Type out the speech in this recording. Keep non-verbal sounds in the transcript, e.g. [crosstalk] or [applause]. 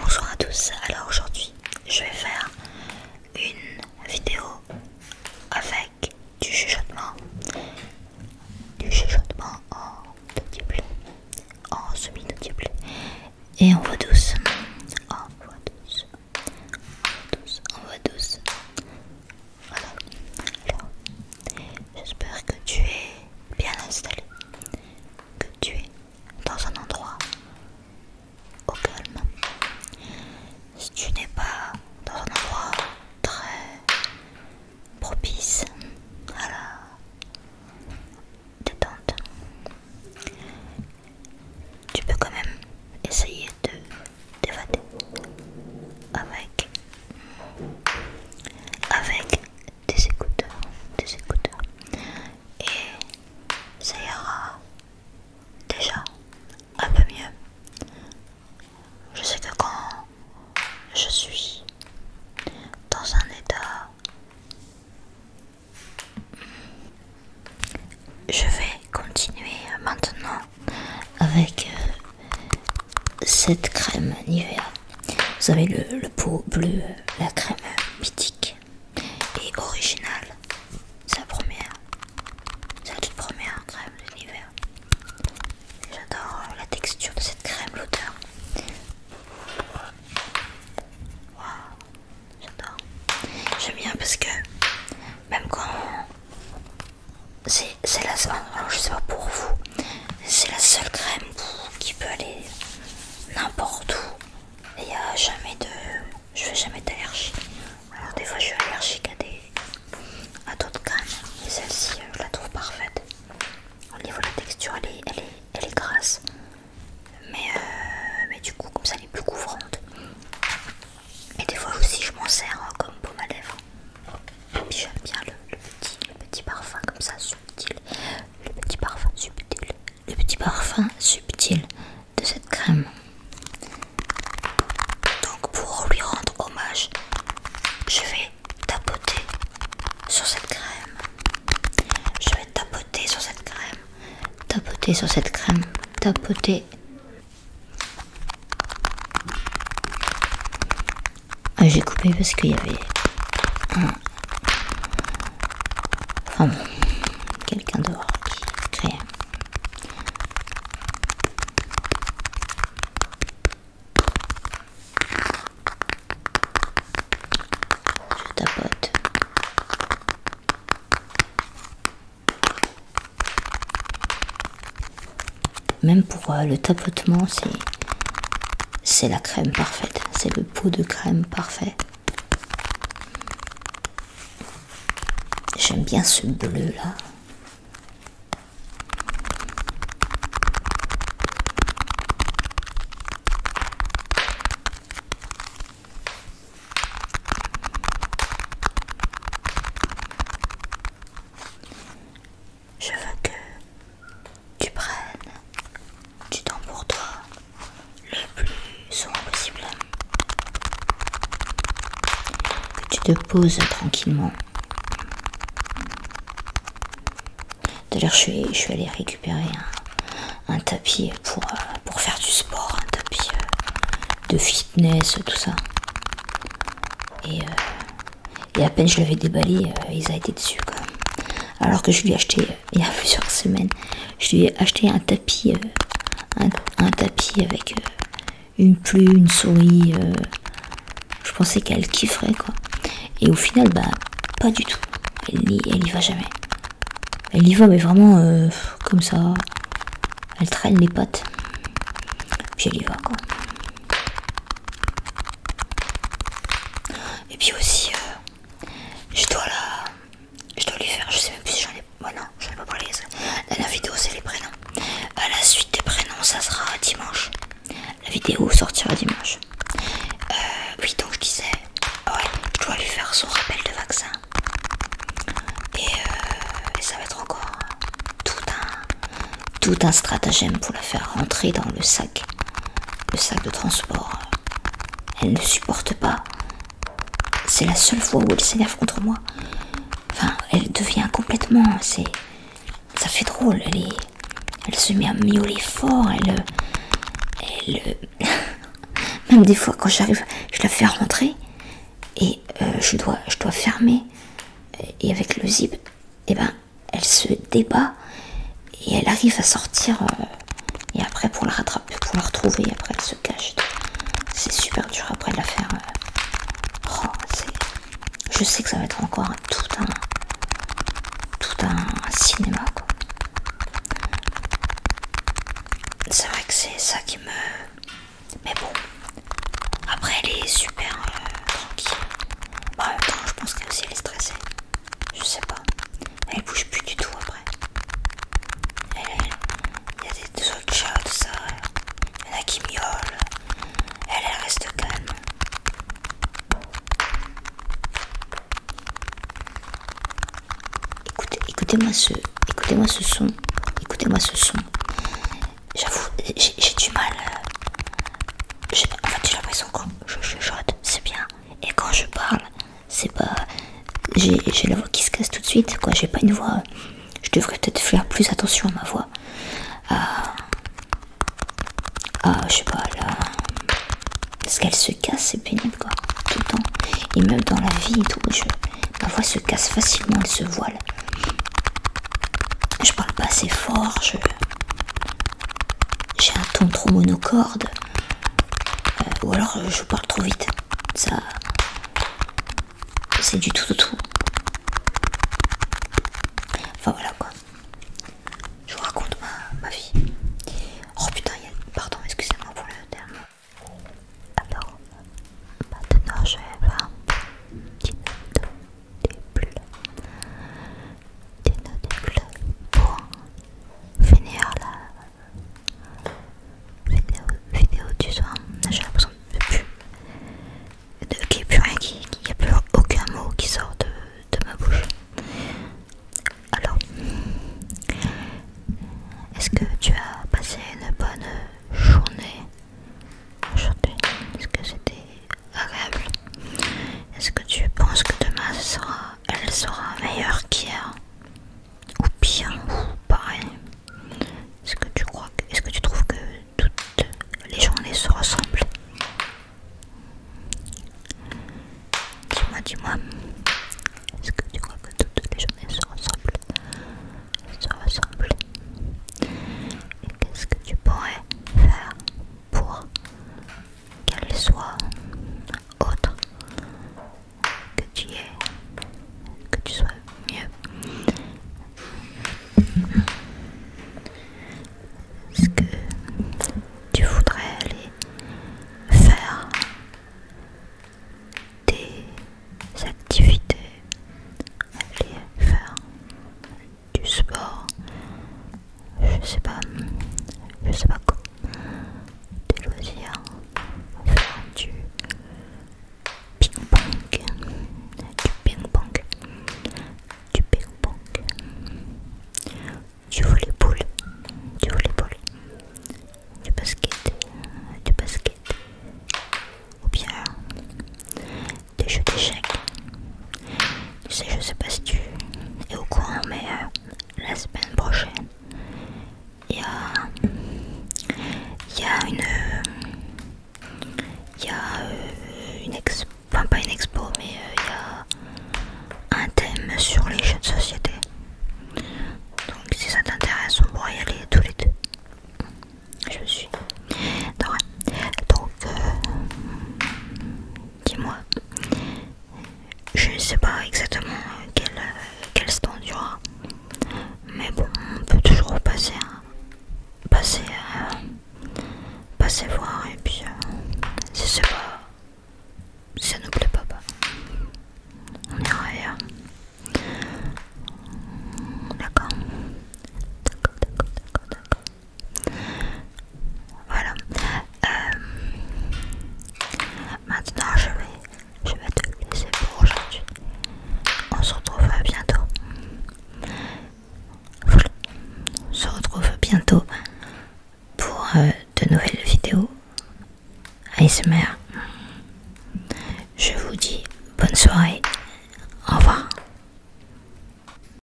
Bonjour à tous, alors aujourd'hui je vais faire une vidéo avec du chuchotement, du chuchotement en audible, en semi-audible et en voix douce, en voix douce, en voix douce, en voix douce, voilà. Alors, j'espère que tu es bien installé, que tu es dans un endroit au calme. Si tu n'es pas dans un endroit très propice à la détente, tu peux quand même essayer de avec avec des écouteurs des écouteurs et ça ira déjà un peu mieux je sais que quand je suis dans un état je vais continuer maintenant avec euh, cette crème Nivea. Vous avez le, pot bleu, euh, la crème mythique et originale. C'est la première, c'est la toute première crème de J'adore euh, la texture de cette crème, l'odeur. Waouh, j'adore. J'aime bien parce que même quand c'est la sais pour vous c'est la seule crème qui peut aller n'importe où il n'y a jamais de je fais jamais d'allergie alors des fois je suis allergique à d'autres crèmes mais celle-ci euh, je la trouve parfaite au niveau de la texture elle est, grasse mais, euh, mais du coup comme ça elle est plus couvrante et des fois aussi je m'en sers hein, comme pommade à j'aime bien petit, le petit parfum comme ça subtil le petit parfum subtil le petit parfum subtil de cette crème donc pour lui rendre hommage je vais tapoter sur cette crème je vais tapoter sur cette crème tapoter sur cette crème tapoter ah, j'ai coupé parce qu'il y avait un... quelqu'un dehors qui Je tapote. Même pour euh, le tapotement, c'est la crème parfaite. C'est le pot de crème parfait. J'aime bien ce bleu là. Je veux que tu prennes du temps pour toi le plus souvent possible. Que tu te poses tranquillement. D'ailleurs, je suis, je suis allée récupérer un, tapis pour, pour faire du sport, un tapis de fitness, tout ça. Et euh, et à peine je l'avais déballé, euh, il a été dessus Alors que je lui ai acheté euh, il y a [laughs] plusieurs semaines, je lui ai acheté un tapis, euh, un, tapis avec une pluie, une souris. je pensais qu'elle kifferait quoi. Et au final, bah pas du tout. Elle y, va jamais. Elle y va mais vraiment comme ça. Elle traîne les pattes. Puis elle y va quoi. Et puis aussi, euh, je dois la... Je dois lui faire, je sais même plus si j'en ai... Bon oh non, j'en ai pas parlé. Ça. la vidéo, c'est les prénoms. À la suite des prénoms, ça sera dimanche. La vidéo sortira dimanche. Euh, oui, donc je disais, ah ouais, je dois lui faire son rappel de vaccin. Et, euh, et ça va être encore tout un, tout un stratagème pour la faire rentrer dans le sac, le sac de transport. Elle ne supporte pas. C'est la seule fois où elle s'énerve contre moi. Enfin, elle devient complètement. C'est. Ça fait drôle. Elle Elle se met à miauler fort. Elle. [laughs] Même des fois, quand j'arrive, je la fais rentrer. Et euh, je, dois, je dois fermer. Et avec le zip, et eh ben elle se débat et elle arrive à sortir euh, et après pour la rattraper, pour la retrouver, et après elle se cache. C'est super dur après de la faire. Euh. Oh, je sais que ça va être encore tout un, tout un cinéma. C'est vrai que c'est ça qui me... Mais bon, après, elle est super euh, tranquille. en même temps, je pense qu'elle aussi est stressée. Je sais pas. Elle bouge plus du tout après. Il y a des, autres chats, tout ça. Il y en a qui miaulent. Elle, elle reste calme. Écoutez-moi ce son. Écoutez-moi ce son. J'avoue, j'ai du mal. Euh, j'ai en fait, j'ai l'impression que je chuchote, c'est bien. Et quand je parle, c'est pas. J'ai la voix qui se casse tout de suite, quoi. J'ai pas une voix. Je devrais peut-être faire plus attention à ma voix. Ah, ah je sais pas, là. Parce qu'elle se casse, c'est pénible, quoi. Tout le temps. Et même dans la vie et tout, ma voix se casse facilement, elle se voile. Je parle pas assez fort, je. J'ai un ton trop monocorde. Euh, ou alors euh, je parle trop vite. Ça. C'est du tout, tout, tout. Enfin voilà quoi. Je vous raconte ma, vie. Oh putain, y a... pardon, excusez-moi pour le terme. Alors, maintenant je vais des nos pour finir la vidéo, du soir. J'ai l'impression de plus, qu'il n'y a plus rien, qu'il n'y a plus aucun mot qui sort de, de ma bouche. Alors, est-ce que tu as passé une bonne journée aujourd'hui Est-ce que c'était agréable. Est-ce que tu penses que demain sera, elle sera meilleure qu'hier Ou bien Ou pareil Est-ce que tu crois Est-ce que tu trouves que toutes les journées se ressemblent Dis-moi, dis-moi. Est-ce que tu crois que toutes les journées se ressemblent Se ressemblent. Qu'est-ce que tu pourrais faire pour qu'elle soit autre, que tu es, que tu sois mieux. Ce que tu voudrais aller faire des activités, aller faire du sport, je sais pas, je sais pas quoi, des loisirs, faire du ping-pong, du ping-pong, du ping-pong, du volleyball, du volley-ball, du basket, du basket, ou bien des jeux d'échecs. sais, je sais pas si tu es au courant, mais euh, la semaine prochaine, il y a, y a une. Il y a euh, une expo, enfin pas une expo, mais euh, il y a un thème sur les jeux de société. Donc si ça t'intéresse, on pourrait y aller tous les deux. Je suis. Donc, dis-moi. Je ne sais pas exactement quel, quel stand tu auras, Mais bon, on peut toujours passer, hein, passer, euh, passer voir et puis euh, si c'est pas, ça nous plaît pas, bah, on ira ailleurs. d'accord, d'accord, d'accord, d'accord. Voilà. Euh, maintenant, je vais, je vais te laisser pour aujourd'hui. On se retrouve bientôt. On se retrouve bientôt pour euh, de nouvelles vidéos ASMR. Je vous dis bonne soirée. Au revoir.